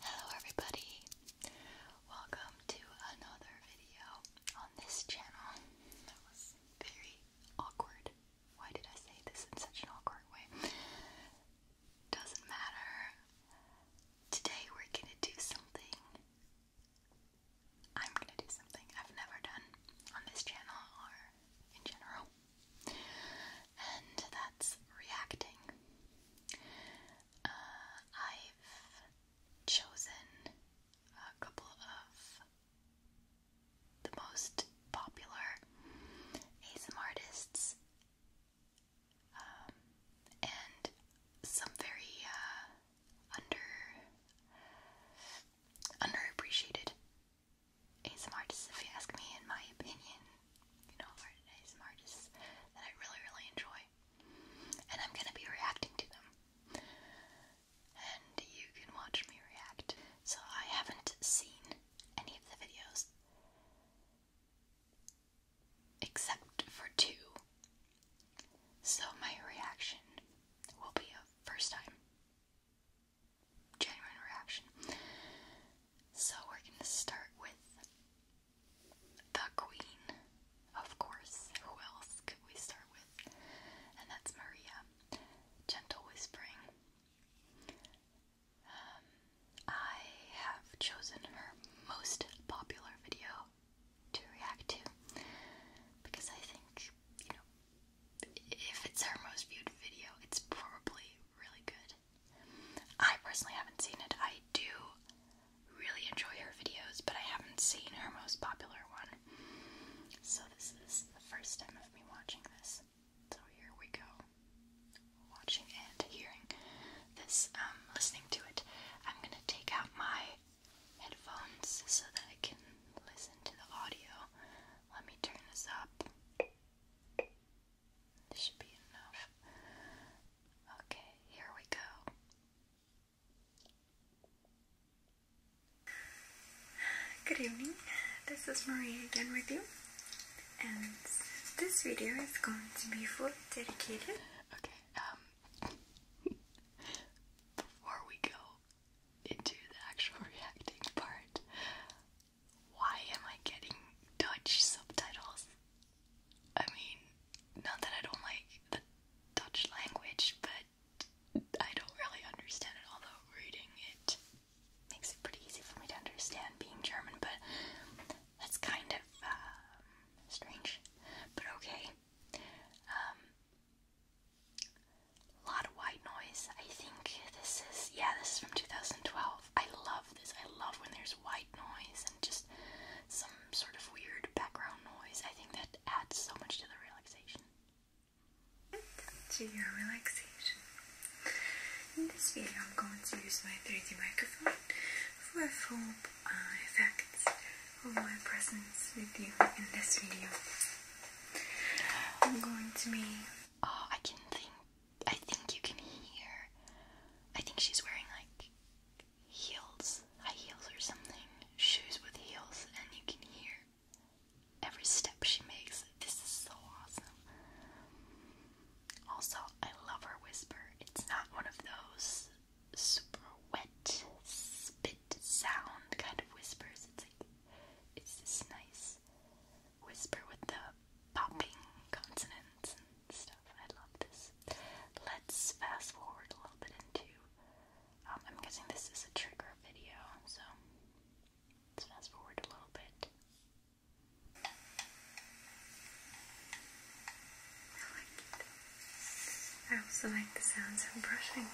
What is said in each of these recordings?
Hello everybody! Welcome to another video on this channel. That was very awkward. Why did I say this in such an awkward way? Doesn't matter. Today we're gonna do something. I'm gonna do something I've never done on this channel or in general. And that reacting. Uh, I've chosen a couple of the most popular ASM artists um, and some very uh, under underappreciated ASM artists, if you ask me, in my opinion you know, ASMR artists that I really, really enjoy. And I'm gonna be reacting to them. And you can watch me react. So I haven't seen any of the videos except for two. So my reaction will be a first time genuine reaction. So we're gonna start with the Queen, of course. Who else could we start with? And that's Maria. Gentle Whispering. Um, I have chosen her most popular video to react to because I think, you know, if it's her most viewed video, it's probably really good. I personally haven't seen it. I do really enjoy her videos, but I haven't seen her most popular one. So this is the first time of me watching this. So here we go. Watching and hearing this, um, listening to it. I'm gonna take out my headphones so that I can listen to the audio. Let me turn this up. This should be enough. Okay, here we go. Good evening, this is Marie again with you, and this video is going to be fully dedicated. Okay, um, before we go into the actual reacting part, why am I getting Dutch subtitles? I mean, not that I don't like the Dutch language, but I don't really understand it, although reading it makes it pretty easy for me to understand being German, but that's kind of um, strange, but okay. Um, lot of white noise. I think this is, yeah, this is from 2012. I love this. I love when there's white noise and just some sort of weird background noise. I think that adds so much to the relaxation. To your relaxation. In this video I'm going to use my 3D microphone for full uh, effects of my presence with you in this video. I'm going to be... Oh, I can think I think you can hear. I think she's wearing like heels, high heels or something, shoes with heels, and you can hear every step she makes. This is so awesome. Also, I love her whisper. It's not one of those super wet spit sound kind of whispers. It's like it's this nice whisper with the popping consonants and stuff. I love this. Let's fast forward a little bit into. Um, I'm guessing this is a trigger video, so let's fast forward a little bit. I also like the sounds of brushing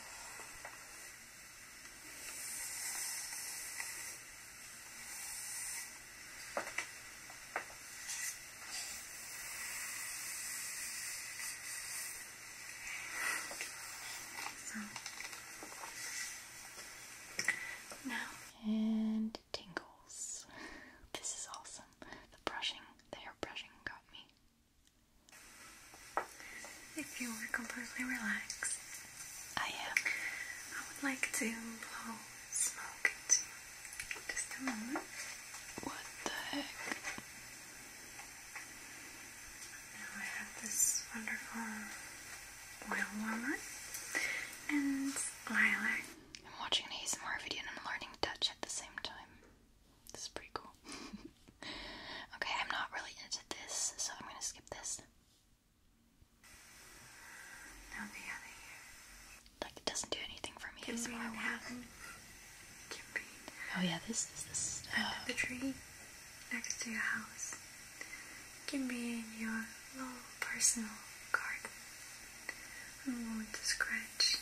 and tingles. This is awesome. The brushing, the hair brushing got me. If you were completely relaxed, I am. I would like to blow smoke What the heck? Now I have this wonderful oil warmer and lilac. I'm watching an ASMR video and I'm learning Dutch at the same time. This is pretty cool. okay, I'm not really into this, so I'm gonna skip this. Now the other like it doesn't do anything for me. Oh yeah, this is this. Uh, the tree next to your house Give me your little personal card. I'm going to scratch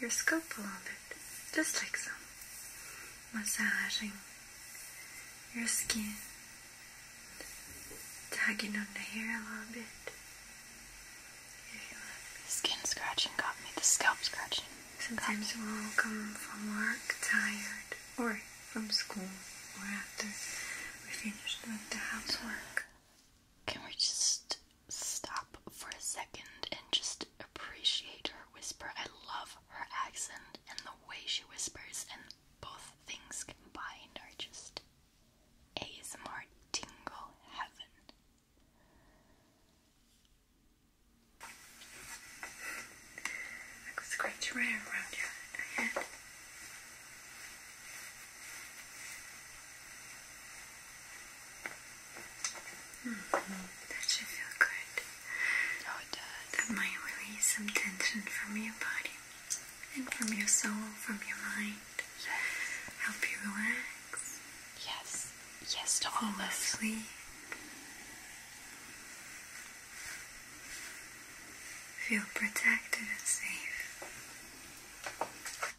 your scalp a little bit, just like some massaging your skin, tugging on the hair a little bit. Skin scratching got me, the scalp scratching. Sometimes we'll come from work tired, or from school, or after we finished with the housework. Can we just stop for a second and just appreciate her whisper? I love her accent and the way she whispers, and both things combined are just ASMR Tingle Heaven. Like a scratch right around your head. Mm-hmm. That should feel good. Oh, it does. That might release some tension from your body and from your soul, from your mind help you relax. Yes, yes to all of sleep. Feel protected and safe.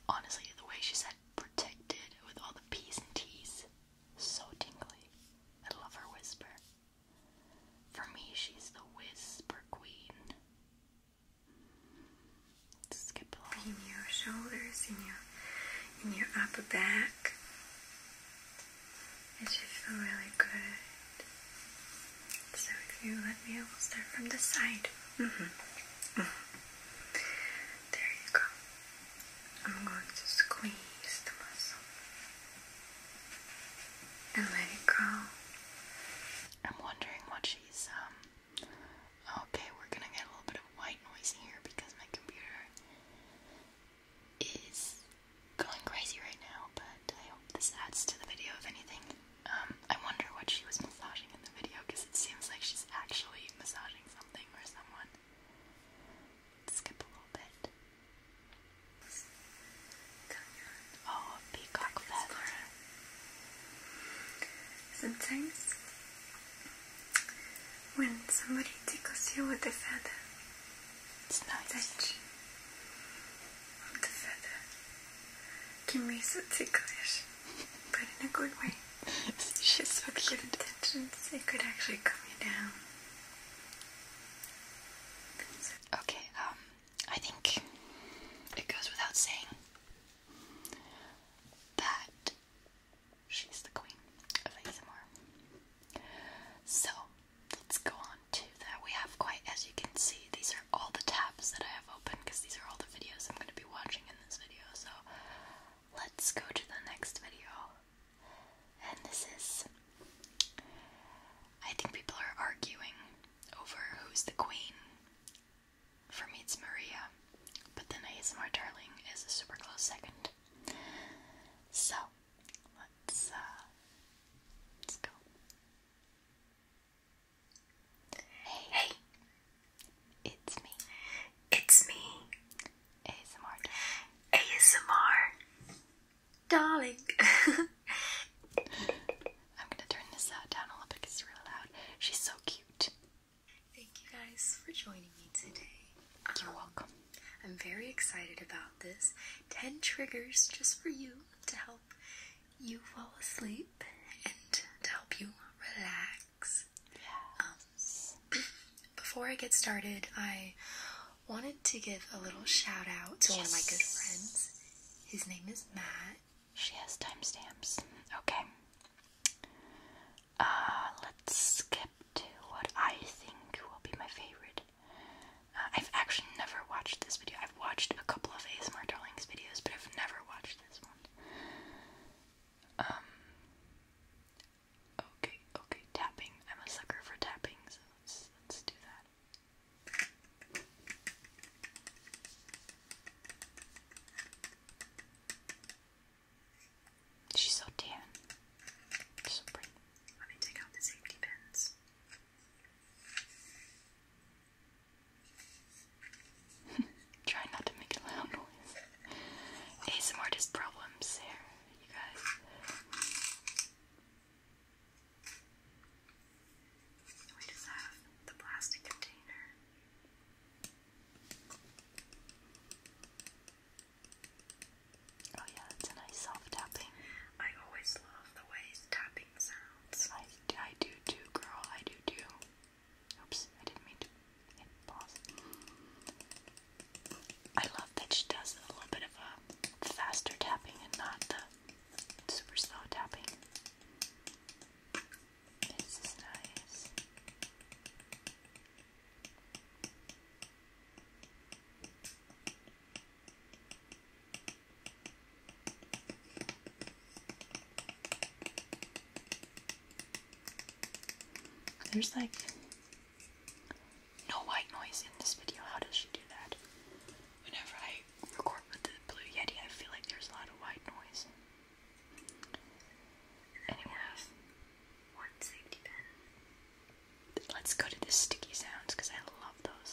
Honestly, the way she said protected with all the P's and T's, so tingly. I love her whisper. For me, she's the whisper queen. Skip along in your shoulders, in your in your upper back. It should feel really good. So if you let me, I will start from the side. Mm-hmm. There you go. I'm going to squeeze the muscle and let it go. I'm wondering what she's um Okay, we're gonna get a little bit of white noise here because my computer is going crazy right now, but I hope this adds to the video, if anything. Um, I wonder what she was massaging in the video because it seems like she's actually massaging something or someone. skip a little bit. Oh, peacock feather. Sometimes, when somebody tickles you with a feather, it's not that of the feather can be so ticklish, but in a good way. She's so with cute. Good intentions, it could actually calm you down. Okay, um, I think it goes without saying that she's the queen of ASMR. So let's go on to that. We have quite, as you can see, these are all the tabs that I have open because these are all the videos I'm going to be watching in this video. So let's go to the next video. And this is. I think people are arguing over who's the queen for me it's Maria, but then ASMR Darling is a super close second. So, let's, uh, let's go. Hey. It's me. It's me. ASMR Darling. ASMR Darling. I'm gonna turn this uh, down a little because it's really loud. She's so cute. Thank you guys for joining me today. You're um, welcome. I'm very excited about this. 10 triggers just for you to help you fall asleep and to help you relax. Yes. Um, before I get started, I wanted to give a little shout out to one of my good friends. His name is Matt. She has timestamps. Okay. Uh, let's skip to what I think will be my favorite. Uh, I've actually never watched this video. I've watched a couple of ASMR Darlings videos, but I've never watched this one. Um. Okay, okay, tapping. I'm a sucker for tapping, so let's let's do that. She's so damn So pretty. Let me take out the safety pins. Try not to make a loud noise. ASMR artist problems here, you guys. We just have the plastic container. Oh yeah, it's a nice soft tapping. I always love the way tapping sounds. I, do too, girl. I do too. Oops, I didn't mean to I love that she does a little bit of a faster tapping and not the super slow tapping. This nice. There's like no white noise in this video. How does she do that? Whenever I record with the Blue Yeti, I feel like there's a lot of white noise. Anyways, one safety Let's go to the sticky sounds because I love those.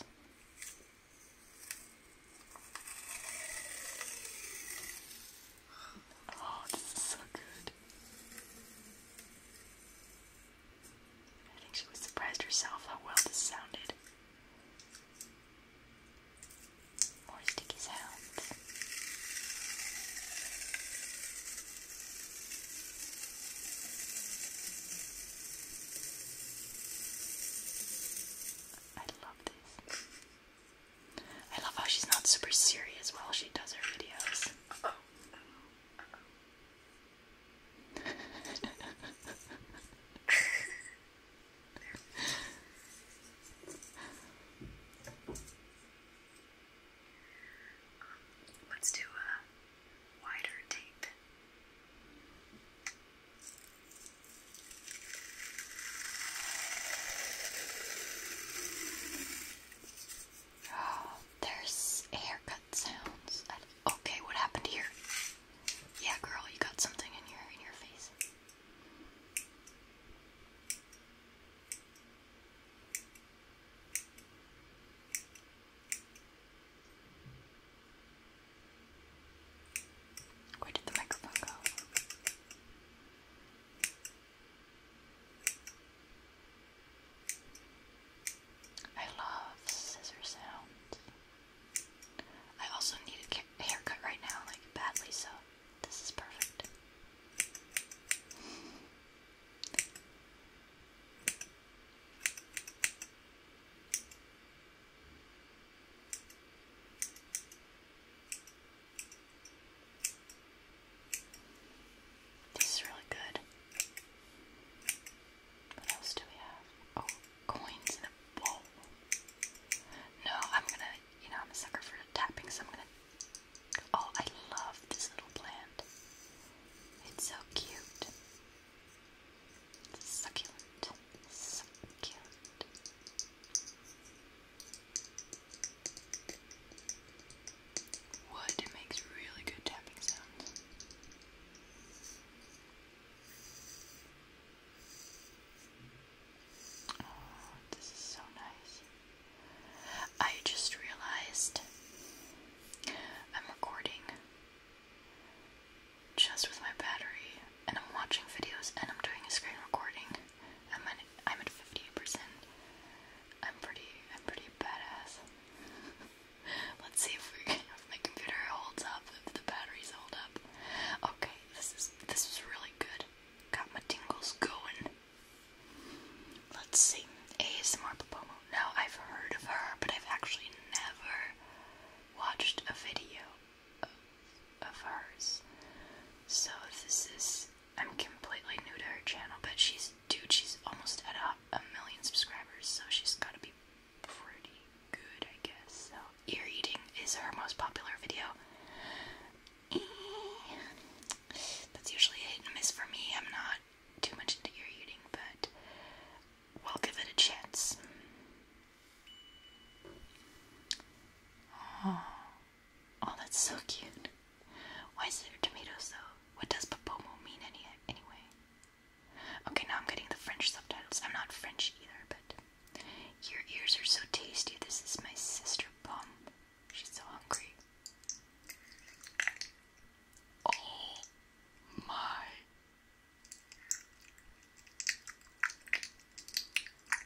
Oh, this is so good. I think she was surprised herself how well this sounded. More sticky sounds. I love this. I love how she's not super serious while she does her videos. Um, let's do a wider tape. Oh, there's haircut sounds. okay, what happened here? Yeah, girl, you got something in your in your face. Where did the microphone go? I love scissor sounds. I also need a haircut right now, like badly so. This is perfect. This is really good. What else do we have? Oh, coins in a bowl. No, I'm gonna, you know, I'm a sucker for tapping, so I'm gonna Oh, I love this little plant. It's so cute. It's succulent. Succulent. Wood, it makes really good tapping sounds. Oh, this is so nice. I just realized I'm recording just with my battery, and I'm watching videos, and I'm doing a screen recording. I'm at I'm at fifty percent. I'm pretty I'm pretty badass. Let's see if we if my computer holds up, if the batteries hold up. Okay, this is this is really good. Got my tingles going. Let's see. ASMR Popomo. Now, I've heard of her, but I've actually never watched a video of, hers. So, this is. I'm completely new to her channel, but she's. Dude, she's almost at a million subscribers, so she's gotta be pretty good, I guess. So, ear eating is her most popular video. That's usually a hit and miss for me. I'm not too much into ear eating, but we'll give it a chance. Oh, oh that's so cute. Why is there tomatoes though? What does popomo mean any anyway? Okay, now I'm getting the French subtitles. I'm not French either, but your ears are so tasty. This is my sister Pomme. She's so hungry. Oh my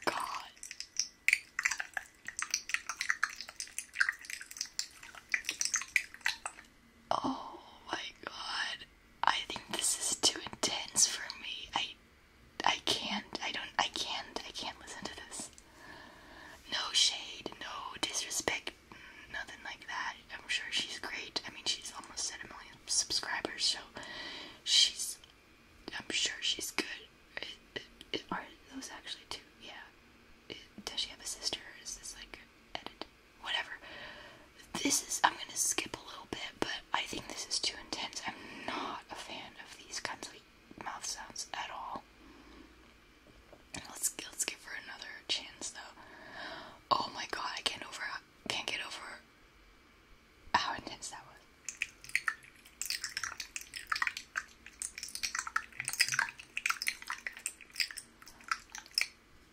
God. Oh my God. I think this is too intense for me. I I can't. I don't I can't. I can't listen to this. No shade, no disrespect, nothing like that. I'm sure she's great. I mean, she's almost at a million subscribers, so she's. I'm sure she's good. are those actually two? Yeah. does she have a sister? is this like Whatever. This is. I'm gonna skip a little bit, but I think this is too intense. I'm not a fan of these kinds of mouth sounds at all. Let's let's give her another chance though. Oh my god, I can't over can't get over how intense that was.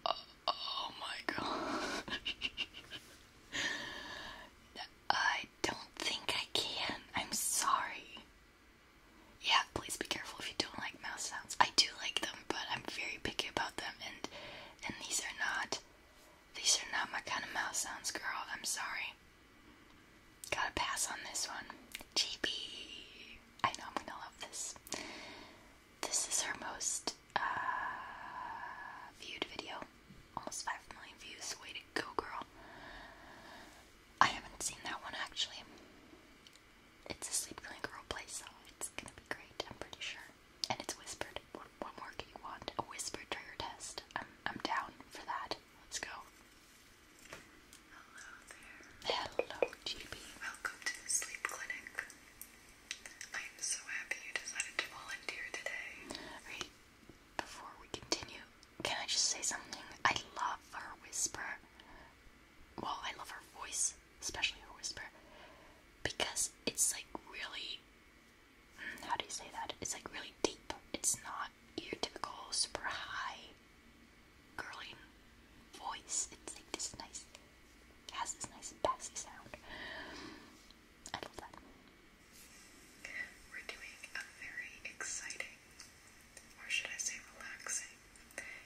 oh, oh my god. I don't think I can. I'm sorry. Yeah, please be careful if you don't like mouse sounds. I do like them, but I'm very picky about them, and and these are not these are not my kind of mouse sounds, girl. I'm sorry. Gotta pass on this one. GB. I know I'm gonna love this. This is her most uh, viewed video. Almost 5 million views. Way to go, girl. I haven't seen that one actually. It's a Sleep clinic Girl play, so it's gonna be great, I'm pretty sure. And it's whispered. What, more do you want? A whispered trigger test. I'm, I'm down for that. Let's go. Hello there. Hello, GB. Welcome to the sleep clinic. I am so happy you decided to volunteer today. before we continue, can I just say something? I love her whisper. Well, I love her voice, especially her whisper, because it's like really. Mm, how do you say that? It's like really deep. It's not your typical super high, girly voice. It's like this nice, has this nice bassy sound. I love that. We're doing a very exciting or should I say relaxing,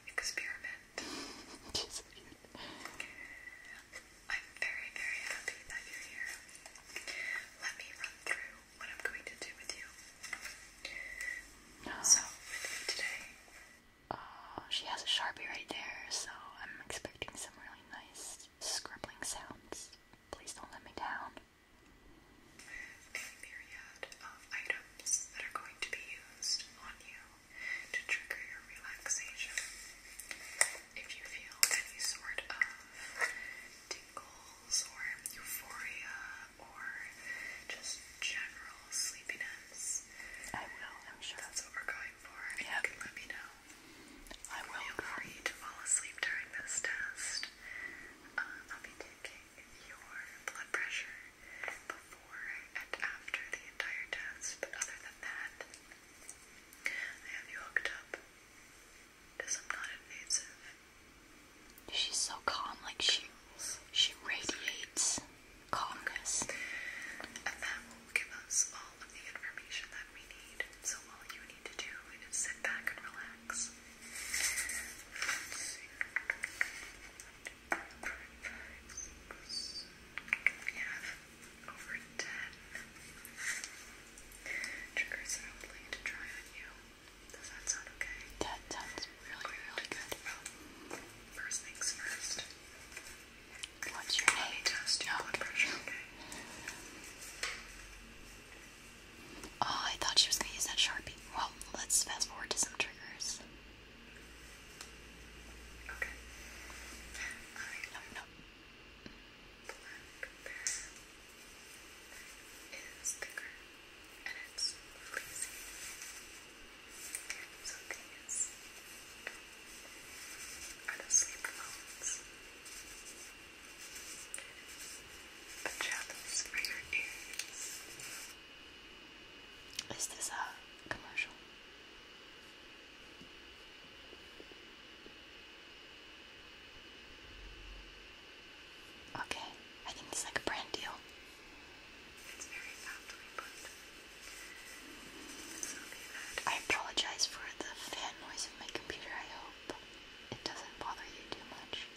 experiment. I'm very, very happy that you're here. Let me run through what I'm going to do with you. So, today. Uh, she has a Sharpie right there, so I'm expecting some really nice scribbling sounds. Please don't let me down a myriad of items that are going to be used on you to trigger your relaxation. If you feel any sort of tingles or euphoria or just general sleepiness, I will, That's what we're going for. Yep. let me know. I will. free to fall asleep during this test. Uh, I'll be taking your blood pressure before and after the entire test, but other than that, I have you hooked up to some non-invasive. She's so calm, like she she radiates calmness. And that will give us all of the information that we need. So all you need to do is sit back and relax. We have over 10 triggers that to try on you. Does that sound okay? That sounds really, good. first things first. What's your name? Test your blood pressure, okay? Oh, I thought she was going to use that Sharpie. Well, let's fast forward to some triggers. Okay. I no, no. Black bear is thicker and it's fleecy. So these are the sleep phones. The shadows for your ears. Is this a commercial? Okay, I think it's like a brand deal. It's very softly put. I apologize for the fan noise of my computer. I hope it doesn't bother you too much.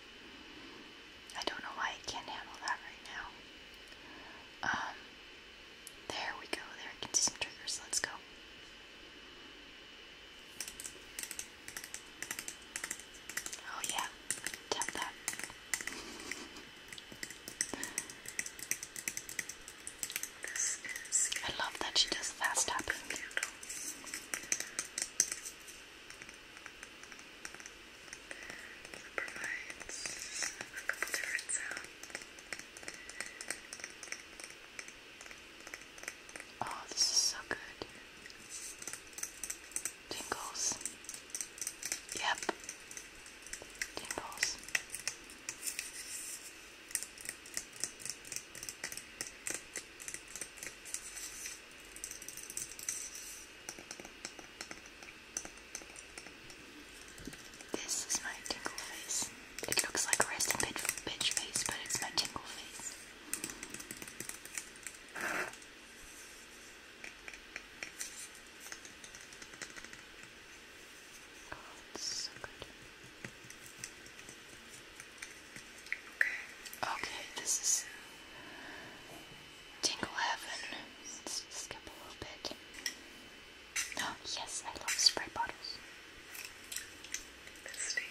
I don't know why I can't handle that right now. Um, there we go. There, I can see some triggers. Let's go. Oh, yeah. Tap that. I love that she does fast tapping. It provides Oh, this is so good. Tingles. Yep. Tingles. This is my tingle face. It looks like a resting bitch, bitch face, but it's my tingle face. Oh, so good. Okay. Okay, this is Tingle Heaven. skip a little bit. Oh, yes, I love spray bottles. Misty.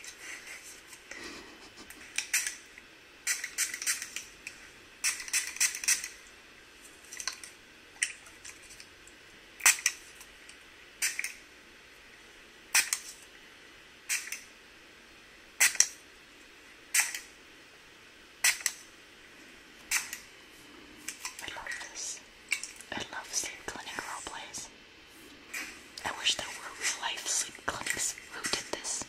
I love this. I love sleep clinic roleplays. I wish there were real life sleep clinics who did this.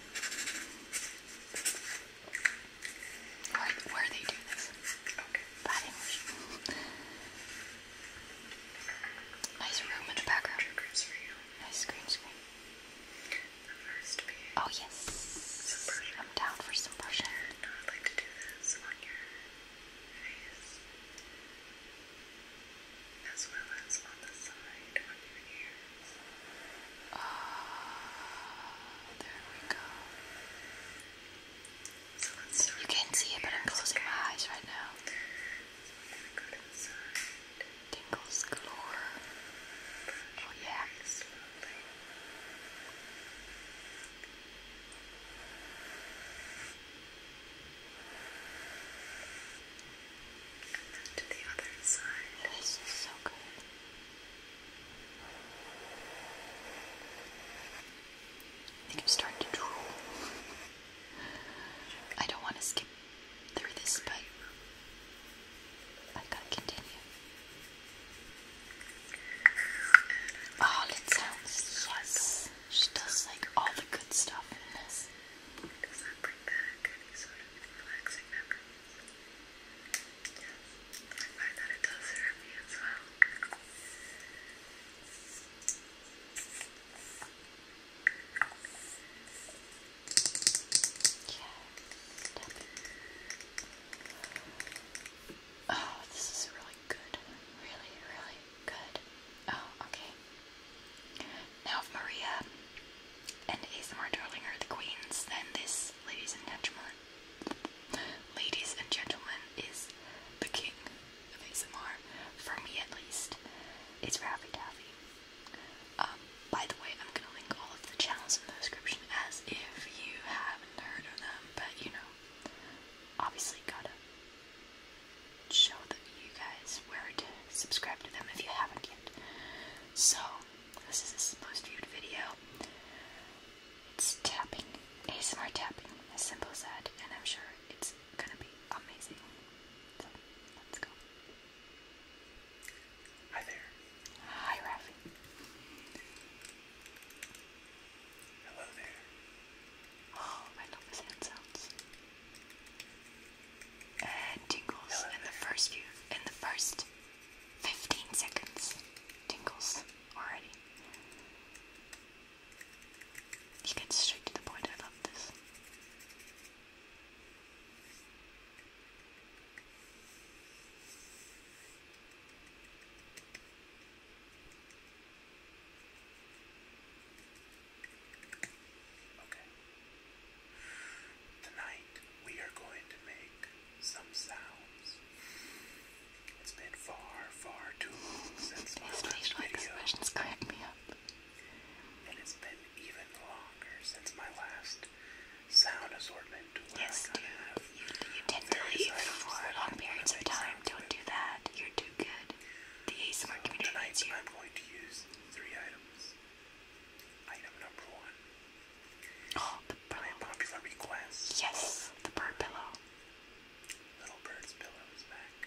Where, they do this. Okay. Bad nice room in the background. Nice green screen. Oh yes. I'm down for some brushing. I'd like to do this on your face, as well as on the side of your ear. Ah, there we go. You can't see it, but I'm closing my eyes right now. Tingles galore. Oh yeah, And then to the other side. This is so good. I think I'm starting to drool. I don't want to skip through this, but I can't continue. Oh, it sounds yes. She does like all the good stuff in this. Does that sort of relaxing memories? I find it does for me as well. Check. Oh, this is really good. Really, really good. Oh, okay. Now, if Maria and ASMR Darling are the queens, then this, ladies and gentlemen, ladies and gentlemen, is the king of ASMR. For me, at least. It's Raffy Taffy. Um, by the way, I'm gonna link all of the channels in the description as if you haven't heard of them, but you know, obviously gotta show that you guys where to subscribe to them if you haven't yet. So, this is this most viewed video. It's tapping, ASMR tapping, as simple as that, and I'm sure it's gonna be amazing. So, let's go. Hi there. Hi, Rafi. Hello there. Oh, I love his hand uh, tingles in the first few, in the first 15 seconds. Tingles already. He gets straight to the point. I love this. Okay. Tonight we are going to make some sounds. It's been far, far too long since my last video. crack me up. And it's been even longer since my last sound assortment Yes, do. You, tend to leave for long periods of time. Don't do that. You're too good. The ASMR community needs you. I'm going to use three items. Item number one. Oh, the pillow. request. Yes, the bird pillow. Little bird's pillow is back.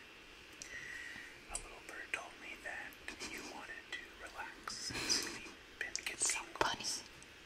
A little bird told me that you wanted to relax so funny.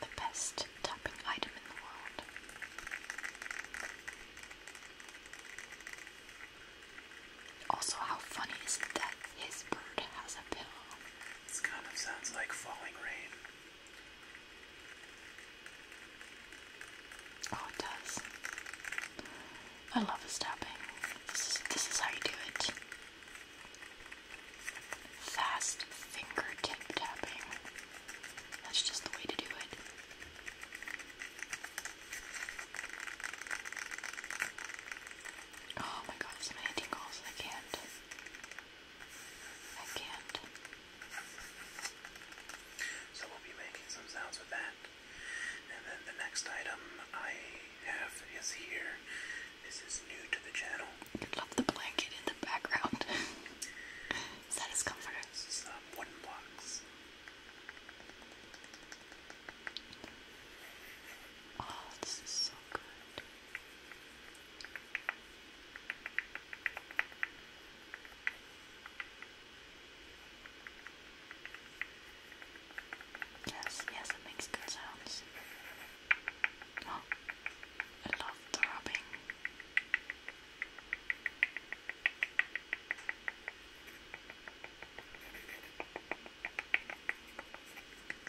The best tapping item in the world. Also, how funny is it that his bird has a pillow? This kind of sounds like falling rain. Oh, it does. I love his tapping. This is, this is how you do it. Fast fingertip tapping. That's just the way to do it. Oh my god, so many tingles. I can't. I can't. So we'll be making some sounds with that. And then the next item I have is here. This is new to the channel. I love the blanket in the background. is that his comforter? This uh, wooden blocks. Oh, this is so good. Yes, yes, it makes good sounds. I love the rubbing.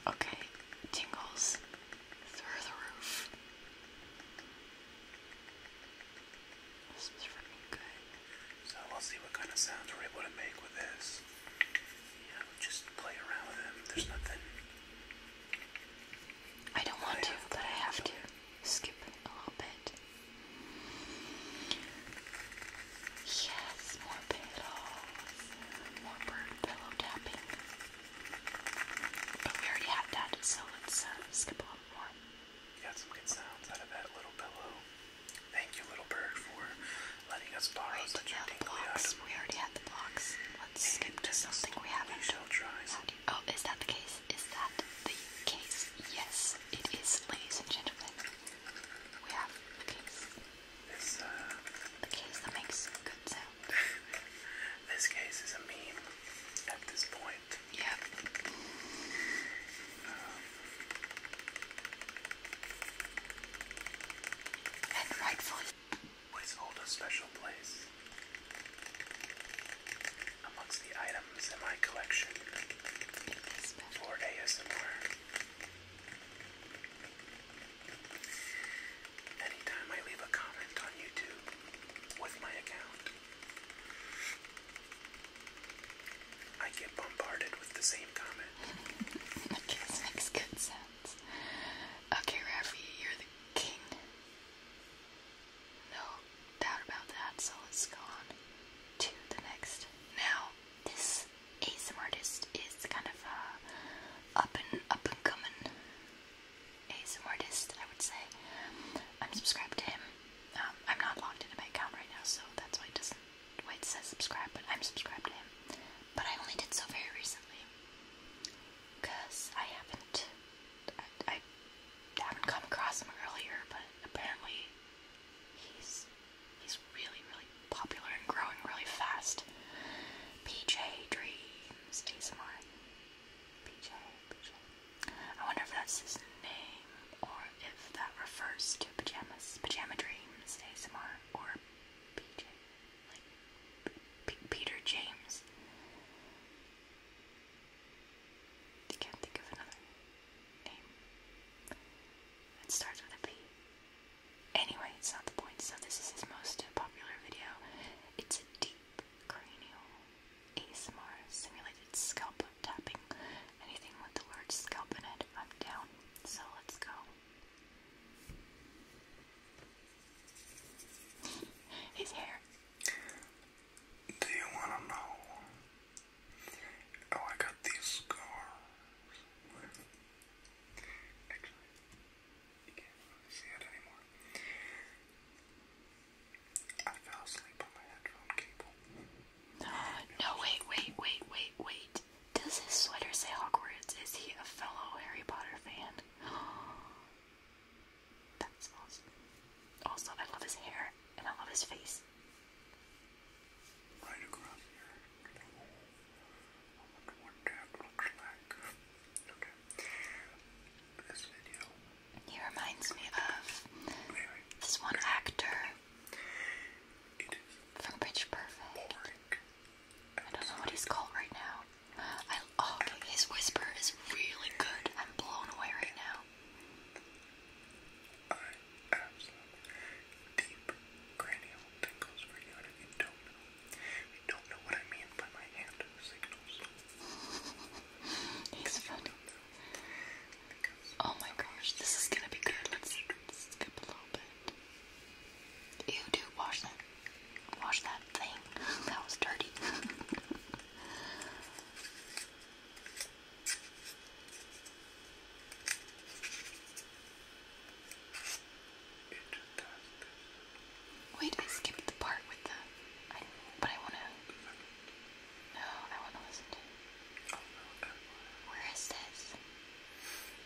Okay, tingles through the roof. So we'll see what kind of sounds we're able to make with this. just play around with them. There's nothing I don't want to, but I have to skip a little bit. Yes, more pillows, more bird pillow tapping. But we already had that, so let's uh, a little more. You got some good sounds out of that little pillow. Thank you, little bird, for letting us borrow Wait, such we already had the blocks. Let's skip to something we haven't. Oh, is that the case? Is that the case? Yes, it is, ladies and gentlemen. We have the case. This, uh, the case that makes good sound. this case is a meme at this point. Yep. Um, and rightfully always hold a special place amongst the items in my collection for ASMR. I leave a comment on YouTube with my account, I get bombarded with the same comment. okay, makes good sense. Okay, Rafi, you're the king. No doubt about that, so let's go on to the next. Now, this ASM artist is kind of a up and up and coming ASM artist, I would say. I'm subscribed to him. Um, I'm not logged into my account right now, so that's why it doesn't why it says subscribe, but I'm subscribed to him. But I only did so very recently because I haven't, I, I haven't come across him earlier, but apparently he's he's really really popular and growing really fast. PJ Dreams ASMR. PJ, PJ. I wonder if that's his name or if that refers to pajamas, pajama dreams ASMR or PJ like Peter James. I can't think of another name that starts with a P. Anyway, it's not the point. So this is his most popular video. It's a deep cranial ASMR simulated scalp tapping. Anything with the word scalp in it, i down. So let's go. His hair. Do you wanna know? Oh, I got these scars. Actually, you can't see it anymore. I fell asleep on my headphone cable. Uh, no, wait, wait, wait, wait, wait. Does his sweater say Hogwarts? Is he a fellow Harry Potter fan? That smells. Also, I love his hair and I love his face. Right across here. I wonder what that looks like. This video. He reminds me of this one actor from Pitch Perfect. I don't know what he's called right now oh, his whisper is really good. I'm blown away right now. I absolutely deep cranial tingles for you, and if you don't know, you don't know what I mean by my hand signals. He's funny. Oh my gosh, this is gonna be good. Let's, skip a little bit. You do wash Wash that thing. that was dirty. Wait, I skipped the part with the. but I wanna. No, I wanna listen Where is this?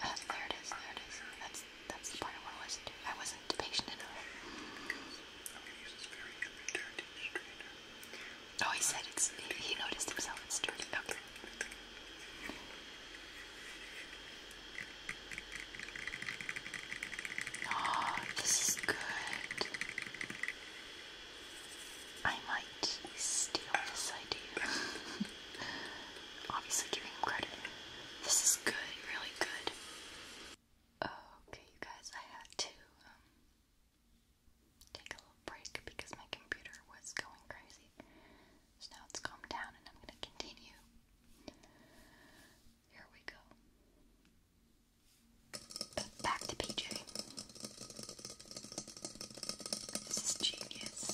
Oh, there it is. There it is. That's that's the part I wasn't. listen I wasn't patient enough. Oh, he said it's. He noticed himself. It's dirty. Okay. Oh, this is good. I might steal this idea. Obviously, giving him credit. This is good, really good. Okay, you guys, I had to um, take a little break because my computer was going crazy. So now it's calmed down and I'm going to continue. Here we go. Back to PJ. This is genius.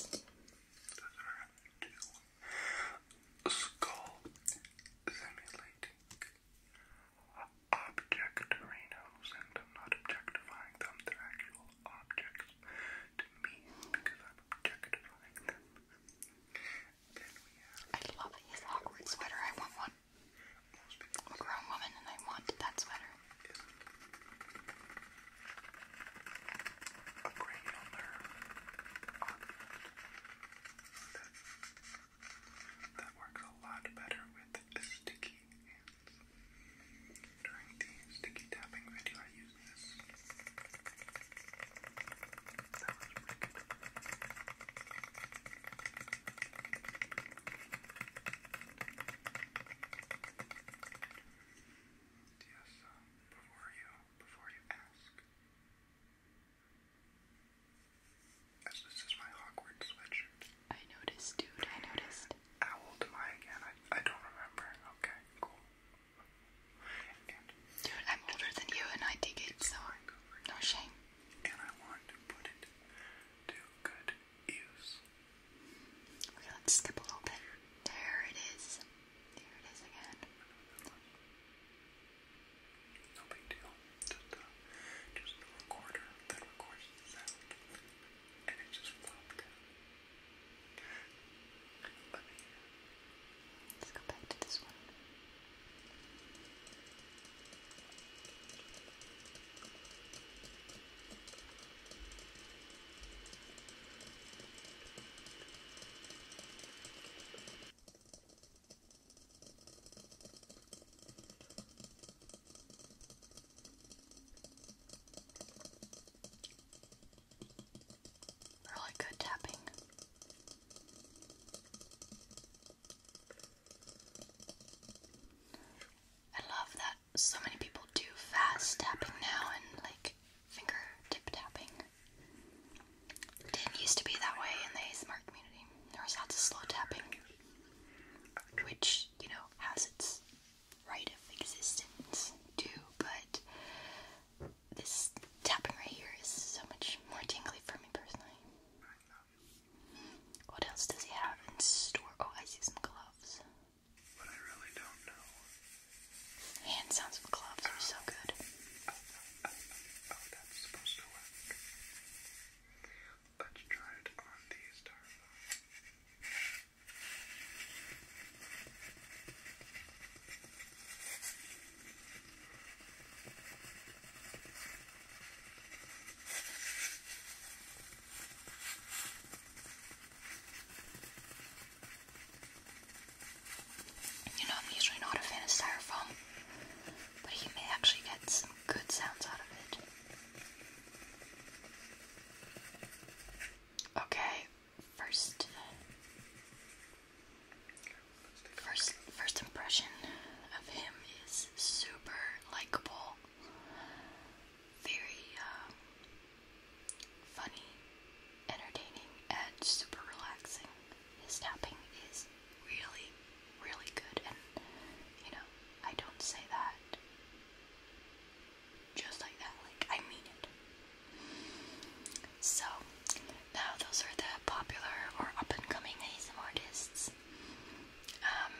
Skull simulating objectorinos and I'm not objectifying them, they're actual objects to me because I'm objectifying them. I love his awkward sweater, I want one. I'm a grown woman and I want that sweater. That works a lot better with sticky hands. During the sticky tapping video, I used this. Yes, uh, before you, before you ask, this is my awkward sweatshirt. I noticed, dude. I noticed. How old am I again? I, I don't remember. Okay, cool. And dude, I'm older than you and I dig it, so no shame. And I want to put it to good use. Okay, let's skip a little bit. There it is. There it is again. No big deal. Just, uh, just a recorder that records sound. And it just flopped. Let's go back to this one. Really good tapping. I love that so many people do fast tapping now and like fingertip tapping. It didn't used to be that way in the ASMR community. There was lots of slow tapping, which, you know, has its right of existence too, but this tapping right here is so much more tingly for me personally. What else does he have in store? Oh, I see some gloves. But I really don't know. Hand sounds of gloves are so good. I oh, that's supposed to work. Let's try it on these darlings. You know, I'm usually not a fan of styrofoam, but you may actually get some good sounds out of it. Okay, first, first, first impression of him is super likable, very um, funny, entertaining, and super relaxing. His tapping is really, really good, and you know, I don't say that just like that, like, I mean it. So, now those are the popular or up and coming ASM artists um,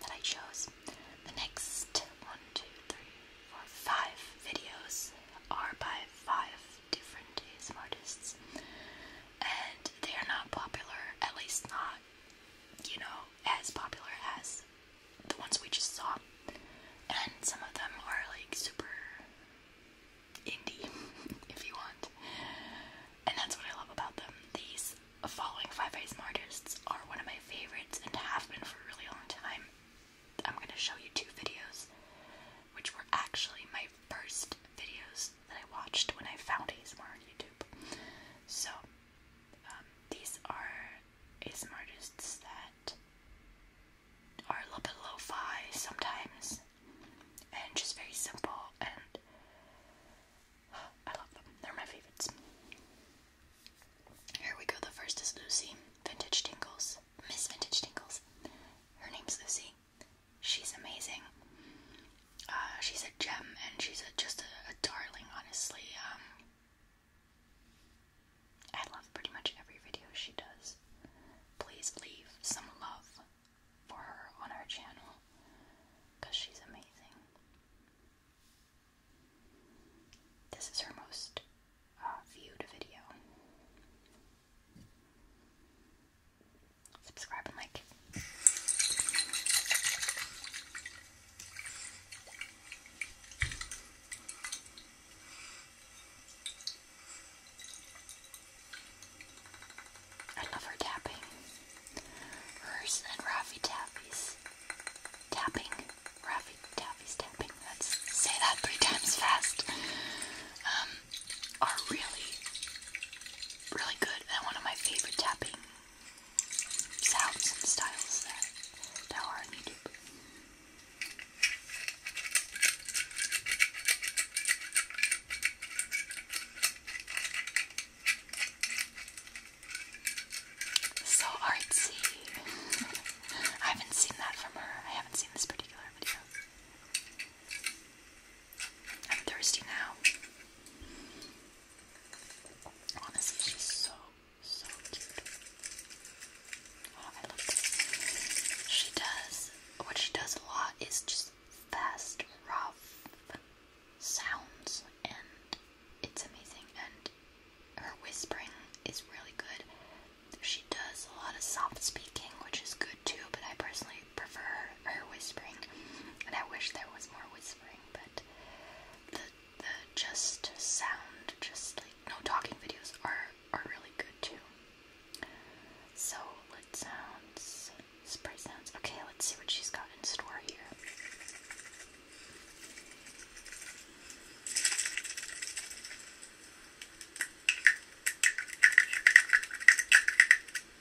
that I chose. The next one, two, three, four, five videos are by five different ASM artists, and they are not popular, at least not, you know, as popular as the ones we just saw. And some of them are like super indie, if you want. And that's what I love about them. These following five ASM artists are one of my favorites and have been for a really long time. I'm going to show you two videos, which were actually my first videos that I watched when I found ASMR on YouTube. So, um, these are ASMR artists that are a little bit lo-fi sometimes, and just very simple, and I love them. They're my favorites. Here we go. The first is Lucy, Vintage Tingles, Miss Vintage Tingles. Her name's Lucy, she's amazing. Uh, she's a gem and she's just a, darling, honestly. Um, I love pretty much every video she does. Please leave some love for her on our channel because she's amazing. This is her most uh, viewed video subscribe and like. I love her tapping. Hers and tapping. Raffy Taffy's tapping. Let's say that three times fast. Um, are really, really good and one of my favorite tapping sounds and styles that, that are on YouTube. So artsy. I haven't seen that from her. I haven't seen this particular video. I'm thirsty now. Honestly, she's so, so cute. Oh, I love this. She does, what she does a lot is just fast, rough sounds, and it's amazing. And her whispering is really good. She does a lot of soft speaking, which is good too, but I personally prefer her, whispering, and I wish there was more whispering, but the the just sound, just like no talking videos are are really good too. So lit sounds, spray sounds. Okay, let's see what she's got in store here.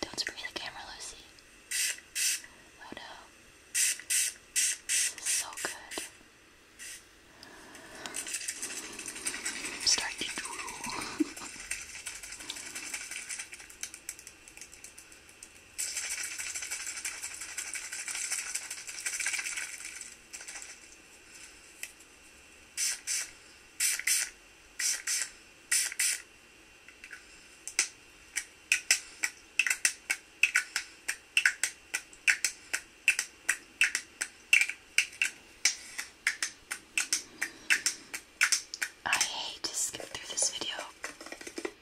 Don't spray the camera, Lucy. Oh no. This is so good. I'm starting to drool. I hate to skip through this video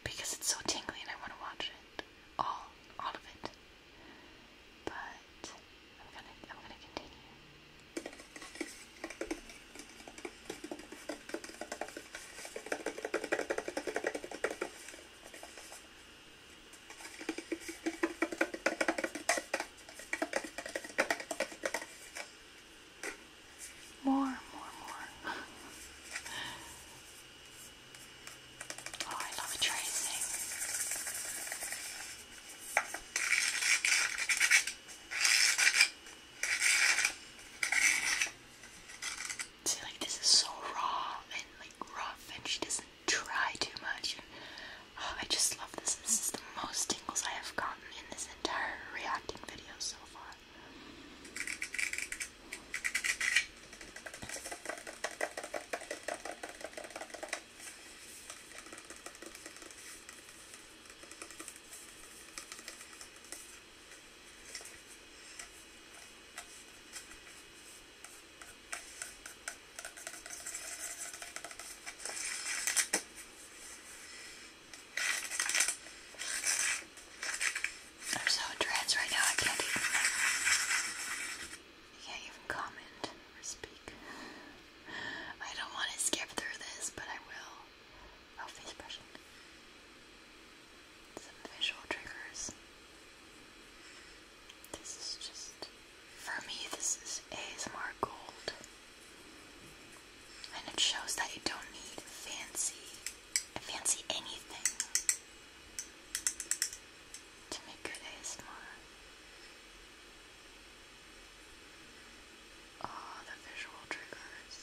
because it's so tingly and I want to watch it. All all of it but I'm gonna I'm gonna continue. More, more, more. Oh, I love tracing. See, like, this is so raw and like rough, and she doesn't try too much. Oh, I just love this. This is the most tingles I have gotten in this entire reacting video so far. I'm so in right now, I can't even you can't even comment or speak. I don't want to skip through this, but I will. Oh, face brushing. Some visual triggers. This is just. For me, this is ASMR gold. And it shows that you don't need fancy. fancy anything to make good ASMR. Oh, the visual triggers.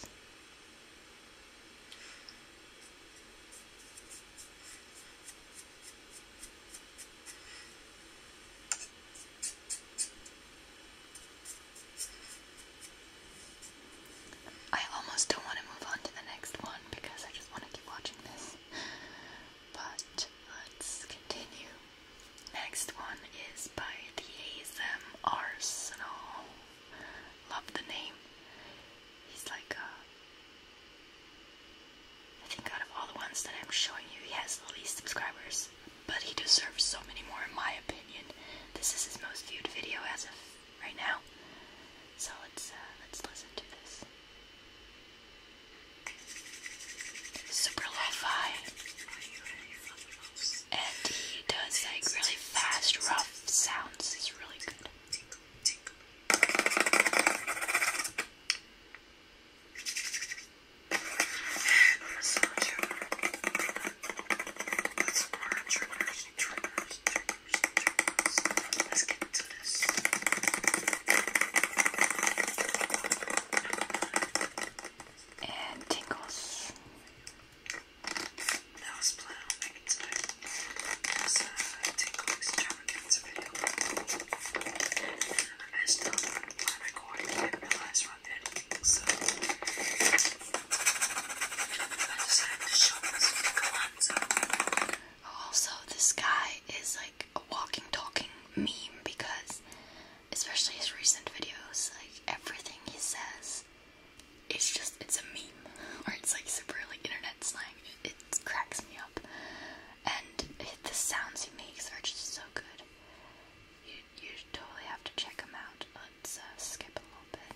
I almost don't want to move on to the next one because I just want to keep watching this. But let's continue. Next one is by the ASM Arsenal. Love the name. He's like a. I think out of all the ones that I'm showing you, he has the least subscribers. But he deserves so many more, in my opinion. This is his most viewed video as of right now. So let's uh, let's listen to this super lo-fi, and he does like really fast, rough sounds. It's really good this. And tingles. That was plan on making tonight. Because uh, tingles extravaganza video. I just don't I didn't realize we're on so I decided to show this Also, this guy is like a walking talking meme because especially his recent videos, like everything he says it's just it's a meme or it's like super like internet slang. It, cracks me up. And the sounds he makes are just so good. You you totally have to check him out. Let's uh, skip a little bit.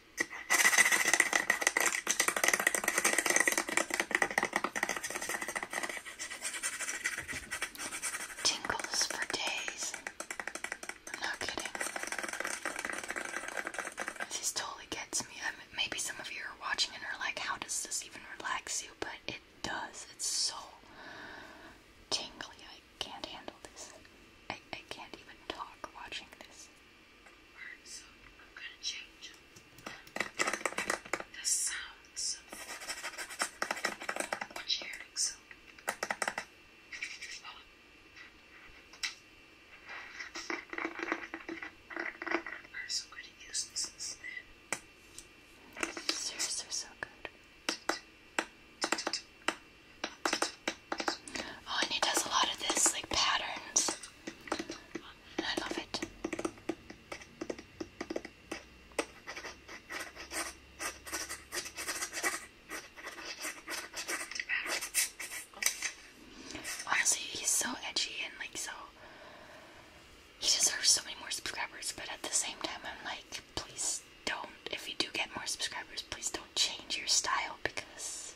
Tingles for days. I'm not kidding. This totally gets me. I um, mean, maybe some of you are watching and are like, how does this even relax you? But it does. It's so tingly. I can't handle this. I, I can't even talk watching this. Alright, so I'm gonna change the sounds what you hearing, so. Oh. oh, and he does a lot of this, like patterns. I love it. Honestly, he's so edgy and like so. He deserves so many more subscribers, but at the same time, I'm like, please don't. If you do get more subscribers, please don't change your style because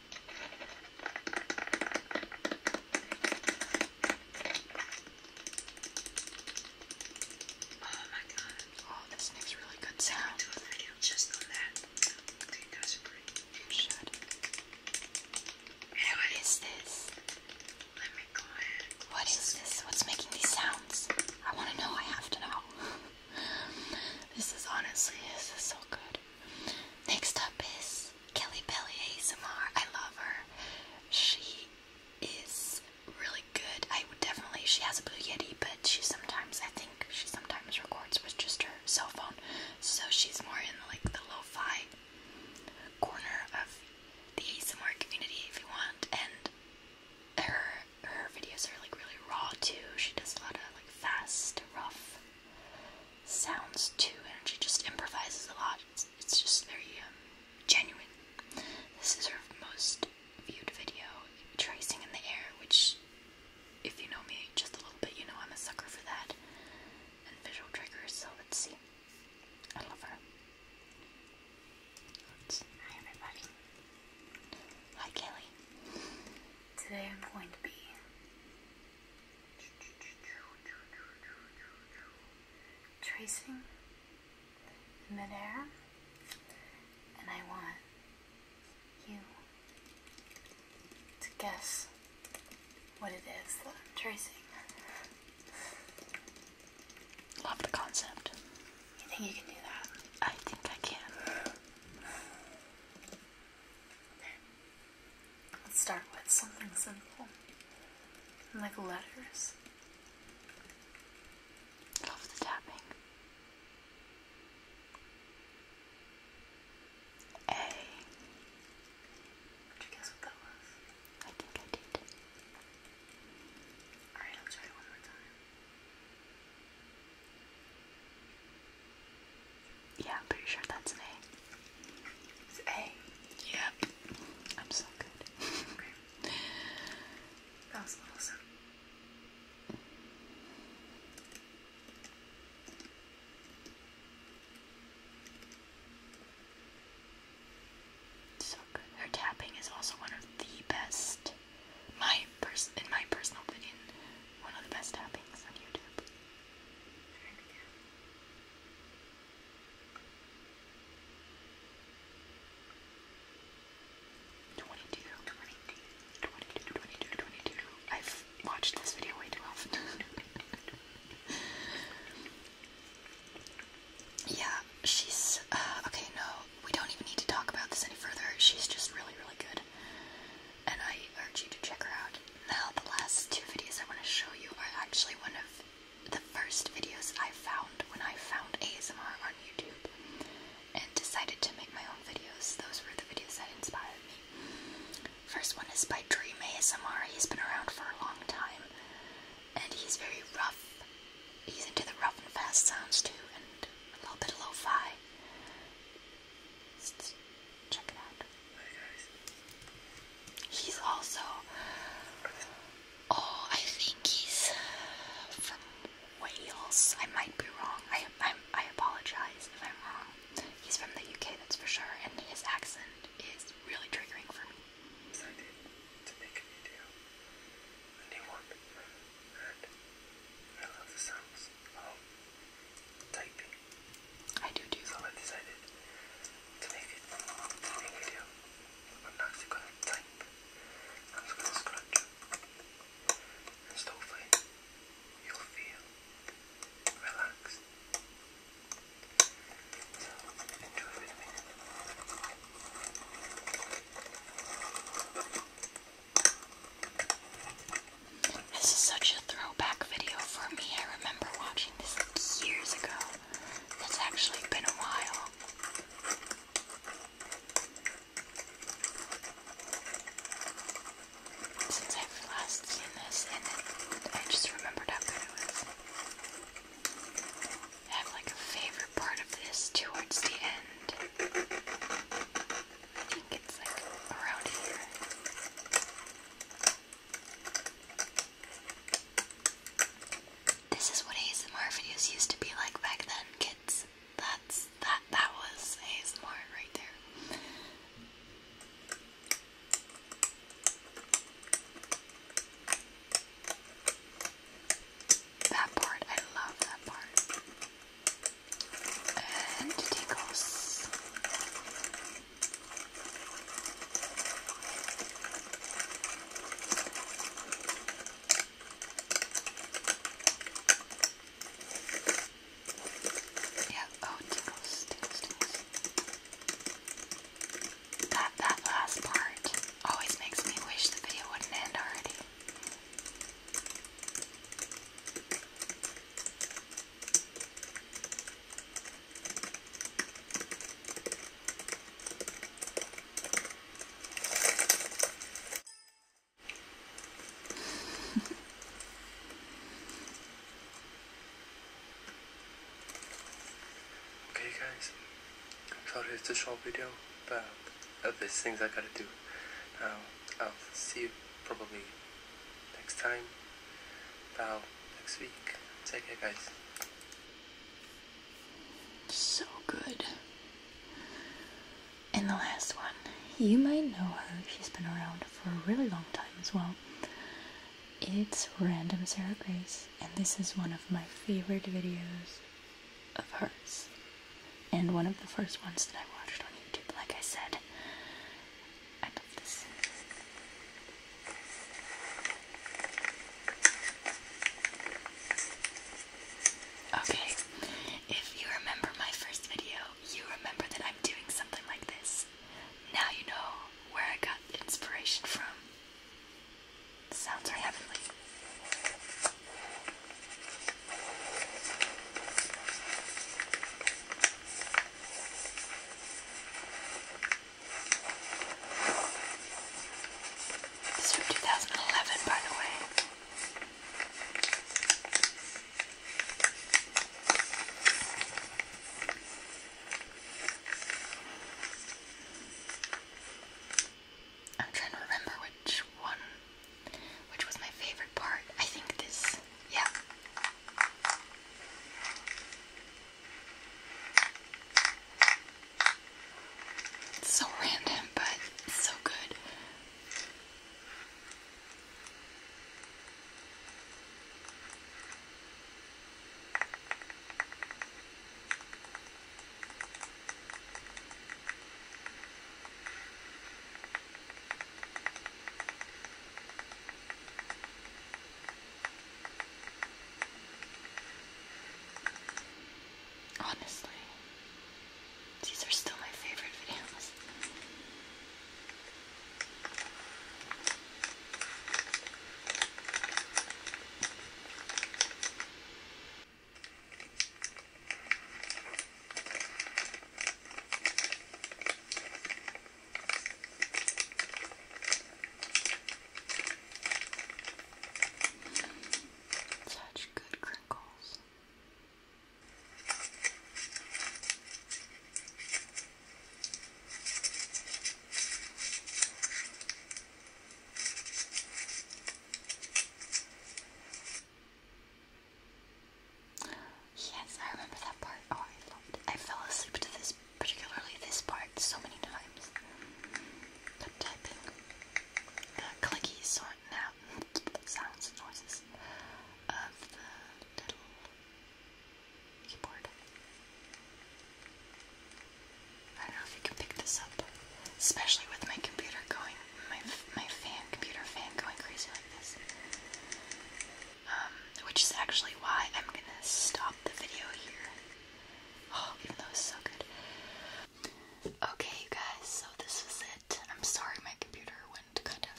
Oh my god. Oh, this makes really good sound. I'll do a video just on that. I think that's great. You should. Anyway. What is this? Let me go ahead. What is this? What's making these sounds? I want to know. I have to know. this is honestly, this is so good. Next up is Kelly Belly ASMR. I love her. She is really good. I would definitely, she has a Blue Yeti, but she sometimes, I think she sometimes records with just her cell phone. So she's more in like the lo-fi corner of the ASMR community if you want. And her, her videos are like really raw too. She does a lot of like fast, rough sounds too, and she just improvises a lot. It's, just very um, genuine. This is her most viewed video, tracing in the air, which, if you know me just a little bit, you know I'm a sucker for that and visual triggers. So let's see. I love her. Hi everybody. Hi Kelly. Today I'm going to be tracing in midair, and I want you to guess what it is that I'm tracing. Love the concept. You think you can do that? I think I can. Let's start with something simple. Like letters. Love the tapping. A. Did you guess what that was? I think I did. Alright, I'll try it one more time. Yeah, I'm pretty sure that's an A. It's A. Yep. I'm so good. That was awesome. So good. Her tapping is also one of the best. My pers in my personal opinion, one of the best tappings on YouTube. Turn Twenty-two. Twenty-two. Twenty-two. Twenty-two. Twenty-two. I've watched this video way too often. yeah, she's uh, okay. No, we don't even need to talk about this any further. She's just really, really good and I urge you to check her out. Now, the last two videos I want to show you are actually one of the first videos I found when I found ASMR on YouTube and decided to make my own videos. Those were the videos that inspired me. First one is by Dream ASMR. He's been around for a long time and he's very rough. He's into the rough and fast sounds too and a little bit of lo-fi. Check it out. guys. He's also. Oh, I think he's from Wales. I might be wrong. I i apologize if I'm wrong. He's from the UK, that's for sure, and his accent is really triggering for me. Decided to make a video, a I love the sounds. Um, I do do. So I decided to make it to make video. I'm not actually gonna type. I'm just gonna scratch. And hopefully you'll feel relaxed. So enjoy with me. This is such a throwback video for me. I remember watching this years ago. It's actually been a while. Since I've last seen this, and I just remembered how good it was. have like a favorite part of this towards the end. This is what ASMR videos used to be like back then, kids. That's that that was ASMR right there. That part, I love that part. And tingles. Yeah, oh, tickles, tickles, tickles. That, that last part always makes me wish the video wouldn't end already okay guys, sorry it's a short video, but uh, there's things I gotta do. Um, I'll see you probably next time, about next week. Take care, guys. So good. And the last one. You might know her. She's been around for a really long time as well. It's Random Sarah Grace, and this is one of my favorite videos of hers. And one of the first ones that I watched on YouTube, like I said. I Okay, if you remember my first video, you remember that I'm doing something like this. Now you know where I got inspiration from. sounds heavenly. This is from 2011, by the way. I'm trying to remember which one, which was my favorite part. I think this yeah. so random, but so good. Honestly, these are still my favorite videos. Such good crinkles. Yes, I remember that part. Oh, I loved it. I fell asleep to this, particularly this part, so many times. But typing the clicky sorting out sounds and noises of the keyboard. I don't know if you can pick this up, especially with my computer going, my my fan, computer fan going crazy like this. Um, which is actually why I'm gonna stop the video here. Oh, even though it's so good. Okay, guys, so this was it. I'm sorry my computer went kind of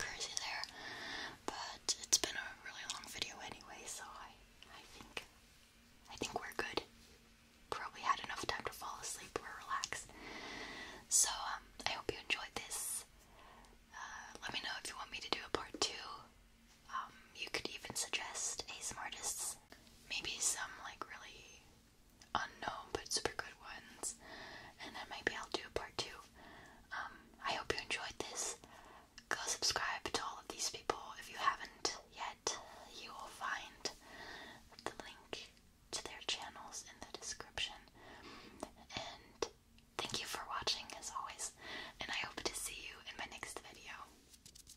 crazy there, but it's been a really long video anyway, so I, I think, I think we're good. Probably had enough time to fall asleep or relax. So um, I hope you enjoyed this. Uh, let me know if you want me to do a part two. Um, you could even suggest ASMR artists, maybe some like really unknown but super good ones, and then maybe I'll do a part two. Um, I hope you enjoyed this. Go subscribe to all of these people if you haven't yet. You will find the link to their channels in the description. And Thank you for watching as always, and I hope to see you in my next video.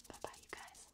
Bye bye, you guys.